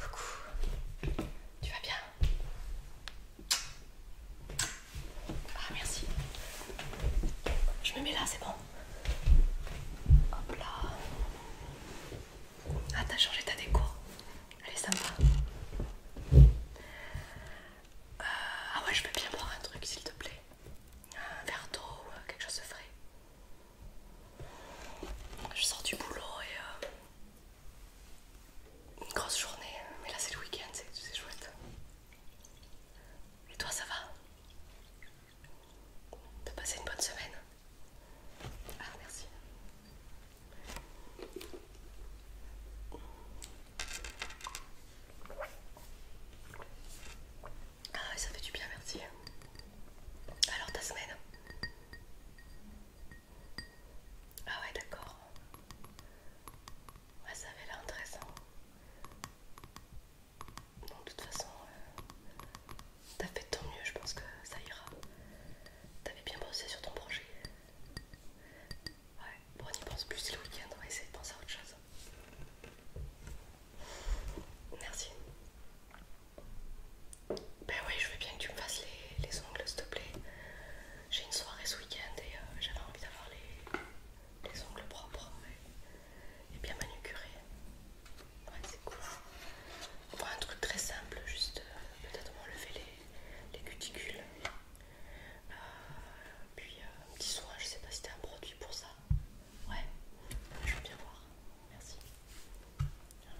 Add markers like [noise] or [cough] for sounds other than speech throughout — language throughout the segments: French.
Coucou, tu vas bien Ah merci. Je me mets là, c'est bon. Hop là. Ah t'as changé ta déco. Elle est sympa. Euh, ah ouais, je peux bien voir un truc s'il te plaît un verre d'eau euh, quelque chose de frais. Je sors du boulot et euh, une grosse journée, mais là c'est le week-end, c'est chouette. Et toi ça va peut passer une bonne semaine Ah merci. Ah, ouais, ça fait du bien, merci. Alors, ta semaine Ah, ouais, d'accord. Ouais, ça avait l'air intéressant. Bon, de toute façon, euh, t'as fait de ton mieux, je pense que ça ira. T'avais bien bossé sur ton projet. Ouais, bon, on y pense plus le week-end, on va essayer de penser à autre chose. Merci. Ben oui, je veux bien que tu me fasses les, ongles, s'il te plaît. J'ai une soirée ce week-end et euh, j'avais envie d'avoir les, ongles propres et, bien manucurés. Ouais, c'est cool. Pour un truc très simple, juste euh, peut-être m'enlever les, les cuticules. Euh, puis euh, un petit soin, je sais pas si t'as un produit pour ça. Ouais, je veux bien voir. Merci.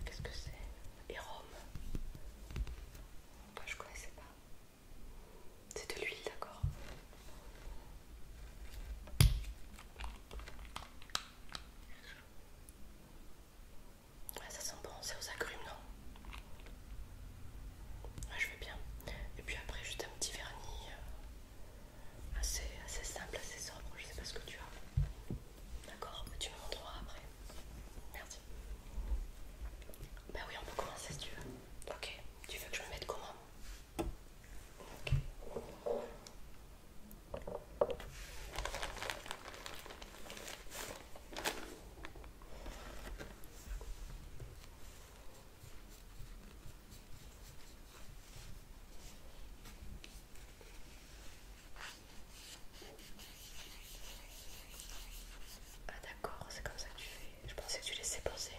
Qu'est-ce que c'est Érome. je connaissais pas. C'est de l'huile, d'accord. Ouais, ça sent bon, c'est aux agrumes, non je vais bien. Et puis après, juste un petit vernis euh, assez, assez simple, assez sobre. Je sais pas ce que tu as. D'accord Tu me montreras après. Merci. Ben oui, on peut commencer si tu veux. Ok. Tu veux que je me mette comment Ok. Ah d'accord, c'est comme ça que tu fais. Je pensais que tu laissais poser.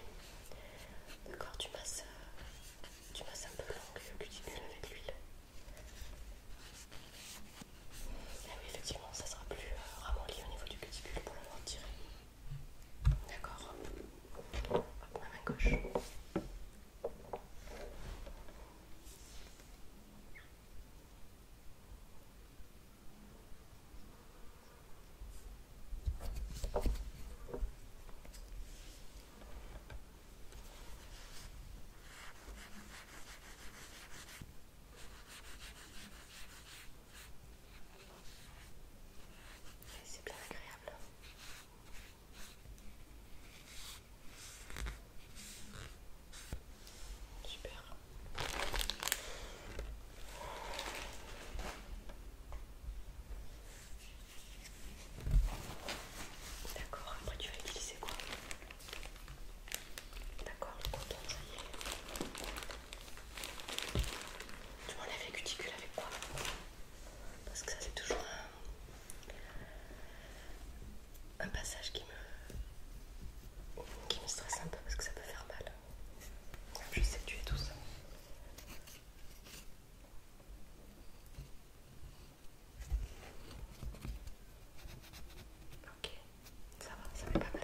D'accord, tu masses, euh, tu masses un peu le cuticule avec l'huile. Ah oui, effectivement, ça sera plus euh, ramolli au niveau du cuticule pour le retirer. D'accord. à ma main gauche. C'est bien agréable. Super. D'accord, après tu vas utiliser quoi D'accord, le coton, ça y est. Tu m'enlèves les cuticules avec quoi Parce que ça c'est toujours un, passage qui me qui me stresse un peu parce que ça peut faire mal. Je sais que tu tout ça. Ok, ça va, ça fait pas mal.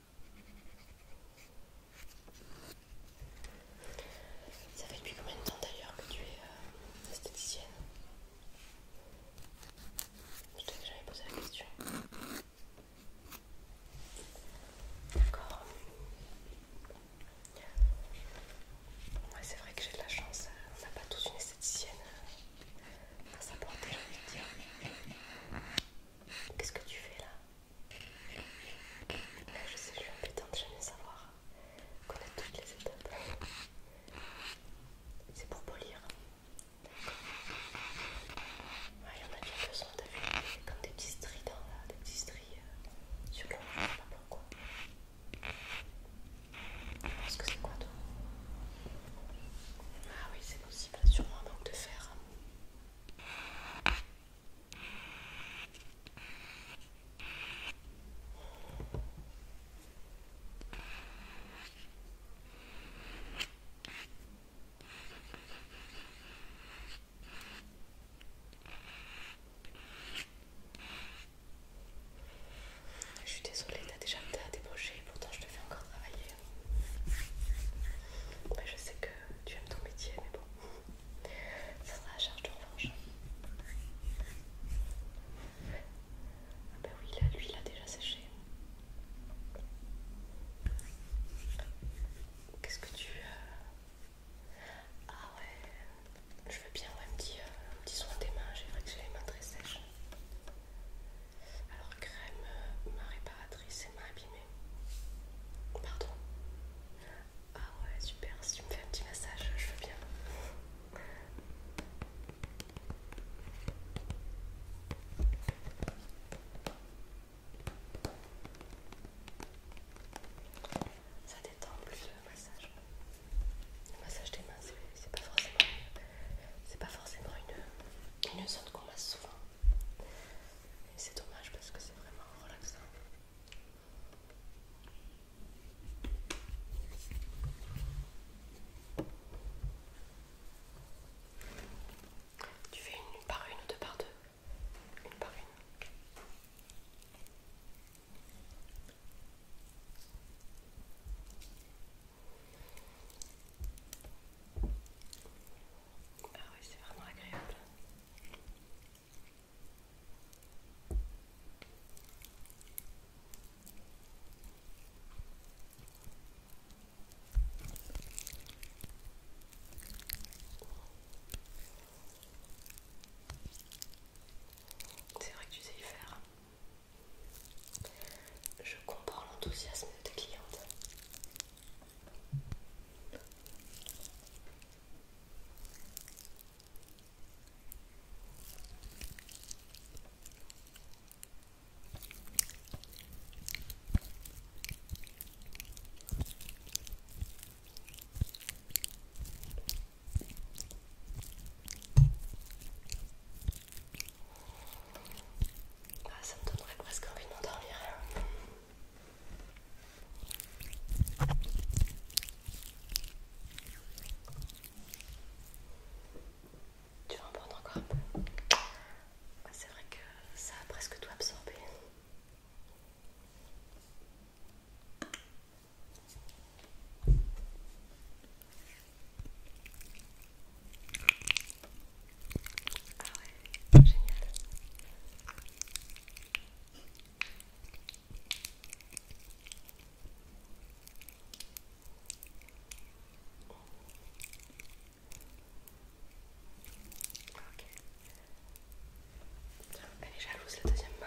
Ça fait depuis combien de temps d'ailleurs que tu es euh, esthéticienne Je t'avais jamais posé la question. D'accord. Ouais, c'est vrai que j'ai de la chance. Euh, on n'a pas tous une esthéticienne euh, à sa j'ai envie de dire. Qu'est-ce que tu fais là je sais, je suis impétente, j'aime bien savoir connaître toutes les étapes. C'est pour polir. Il y en a bien besoin, de vu Comme des petits dans là, des petits stries euh, sur le je sais pas pourquoi. Tu penses que c'est quoi toi Ah oui, c'est possible, sûrement un manque de fer. Je suis désolée, t'as déjà à débaucher, pourtant je te fais encore travailler. Bah, je sais que tu aimes ton métier, mais bon, ça sera à charge de revanche. Ah bah oui, lui, il a déjà séché. Qu'est-ce que tu... Euh, ah ouais, je veux bien un, petit, euh, un petit soin des mains, j'ai vrai que j'ai les mains très sèches. Alors crème, euh, ma réparatrice et ma abîmée. Pardon. Ah ouais super, si tu me fais un petit massage, je veux bien. Ça détend plus le massage. Le massage des mains, c'est pas forcément, une, une zone qu'on masse souvent c'est dommage parce que c'est vraiment relaxant. Tu fais une par une ou deux par deux Une par une. Ah oui, c'est vraiment agréable. C'est vrai que tu sais y faire je comprends l'enthousiasme de ta cliente. Ah, ça me donnerait presque envie de Tu vas en prendre encore un peu. Ah, c'est vrai que ça a presque tout absorbé. Ah ouais, génial. Ok. elle est jalouse la deuxième main.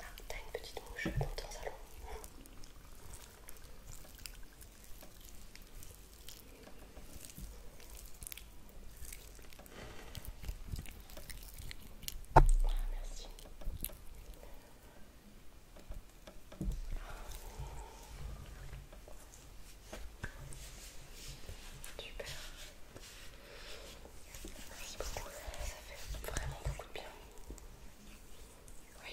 Ah, t'as une petite mouche dans ton salon. Ah, merci. Super. Merci beaucoup, ça fait vraiment beaucoup de bien. Oui.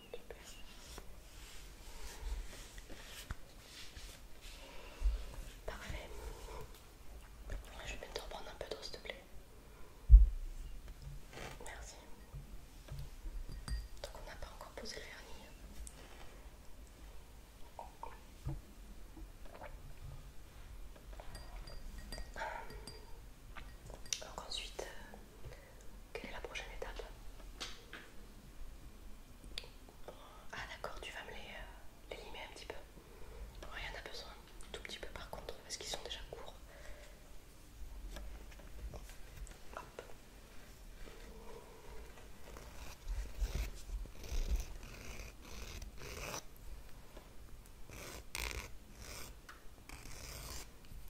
Parfait. Je vais bientôt te reprendre un peu d'eau s'il te plaît. Merci. Donc on n'a pas encore posé le vernis. Donc hum. ensuite, euh, quelle est la prochaine étape Ah d'accord, tu vas me les, euh, limer un petit peu. rien il y en a besoin, tout petit peu par contre, parce qu'ils sont déjà courts.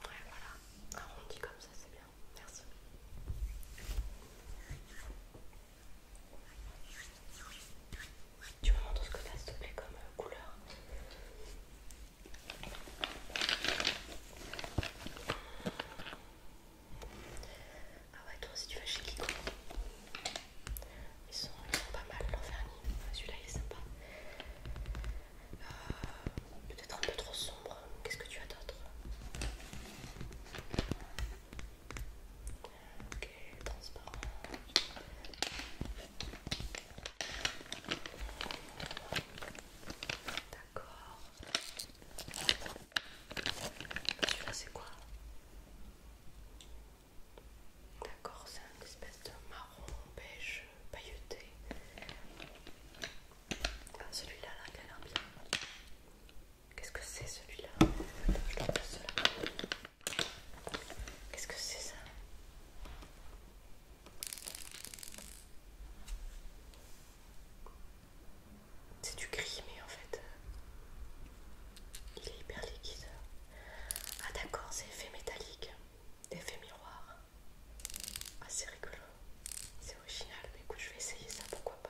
voilà, arrondi comme ça, c'est bien merci. Tu me montres ce que t'as s'il te plaît comme euh, couleur. Ah ouais, toi aussi tu vas chez Kiko. Ils sont, pas mal, l'enfermier. Celui-là il est sympa. Euh, peut-être un peu trop sombre. Qu'est-ce que tu as d'autre Ok, transparent. D'accord. Celui-là, c'est quoi D'accord, c'est un espèce de marron beige pailleté. Ah, celui-là, là, il a l'air bien. Qu'est-ce que c'est celui-là Je Qu'est-ce que c'est ça C'est du gris, mais en fait, il est hyper liquide. Ah, d'accord, c'est effet métallique, effet miroir assez ah, c'est rigolo, c'est original, mais écoute, je vais essayer ça, pourquoi pas.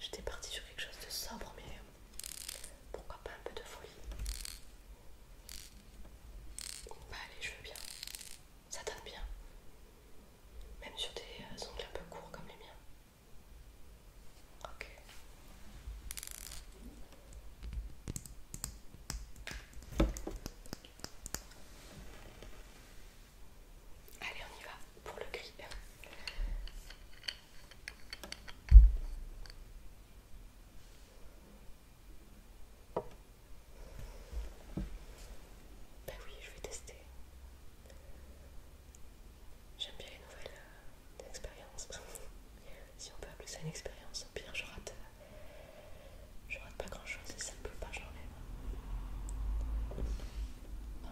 J'étais partie sur quelque chose de sobre, mais euh, pourquoi pas un peu de folie. Bah, allez, je veux bien, ça donne bien, même sur des euh, ongles un peu courts comme les miens. Ok. Allez, on y va pour le gris. Bah oui, je vais tester. J'aime bien les nouvelles euh, expériences. [laughs] si on peut appeler ça une expérience, au pire je rate je rate pas grand chose et ça ne peut pas, j'enlève.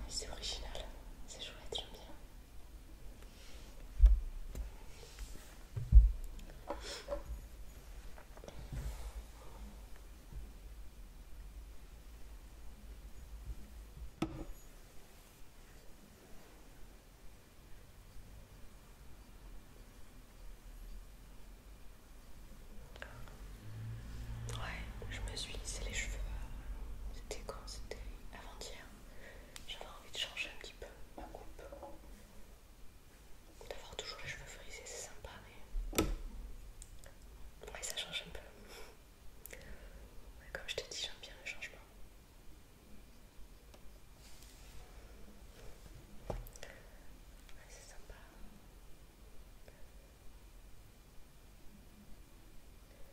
c'est original, c'est chouette, j'aime bien. Ouais, je me suis lissé les cheveux. C'était quand C'était avant-hier. J'avais envie de changer un petit peu ma coupe. D'avoir toujours les cheveux frisés, c'est sympa, mais. Ouais, ça change un peu. comme je te dis, j'aime bien le changement. Ouais, c'est sympa.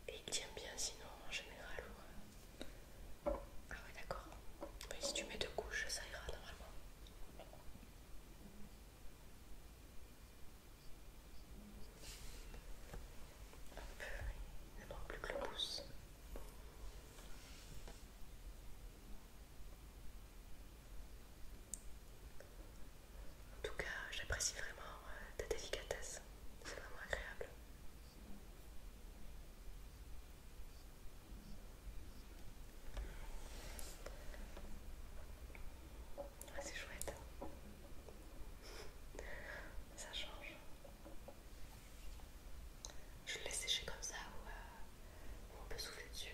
Et il tient bien sinon en général Ah ouais d'accord. Mais si tu mets deux couches ça ira normalement. peu. il plus que le pouce. En tout cas, j'apprécie vraiment euh, ta délicatesse. C'est vraiment agréable. Ah, c'est chouette. Ça change. Je laisse sécher comme ça ou euh, on peut souffler dessus.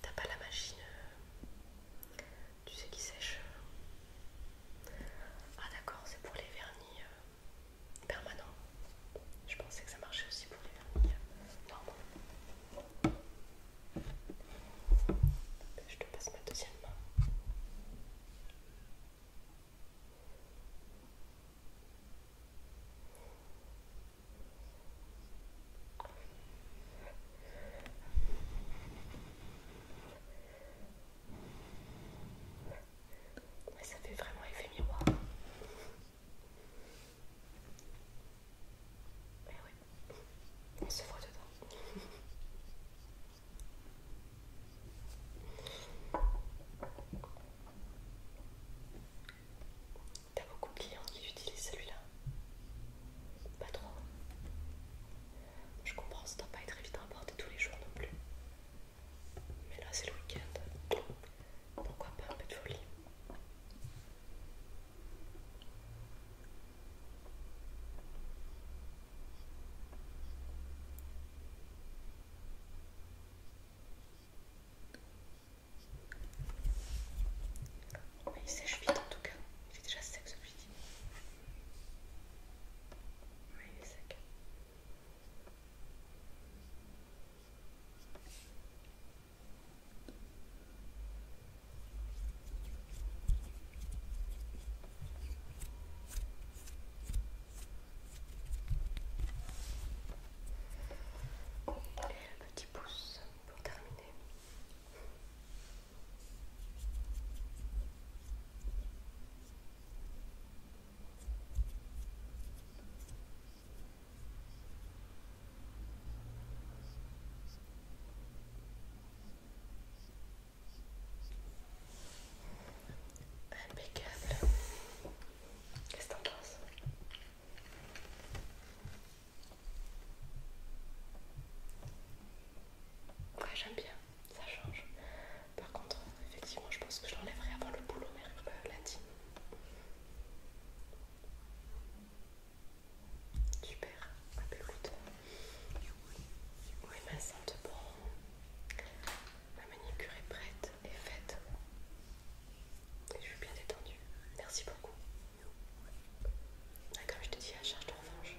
T'as pas la machine, euh, tu sais qui sèche. Ah d'accord, c'est pour les vernis euh, permanents. Je pensais que ça marchait aussi pour les vernis euh, normaux. Je te passe ma deuxième main. ça fait vraiment effet miroir on se voit dedans. [laughs] T'as beaucoup de clients qui utilisent celui-là Pas trop. Je comprends, ça doit pas être évident à porter tous les jours non plus. Mais là, c'est le week-end. Pourquoi pas un peu de folie il sèche vite en tout cas. Il est déjà sec celui-ci. Et un petit pouce pour terminer. Impeccable. Qu'est-ce que t'en penses Ouais, j'aime bien, ça change. Par contre, effectivement, je pense que je l'enlèverai avant le boulot, mais euh, Super, ma ah, bah oui ma sainte, bon, ma manicure est prête et faite, et je suis bien détendue, merci beaucoup. Ah, comme je te dis, à charge de revanche.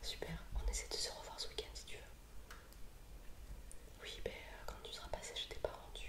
Super, on essaie de se revoir ce week-end si tu veux. Oui, ben quand tu seras passé je t'ai pas rendu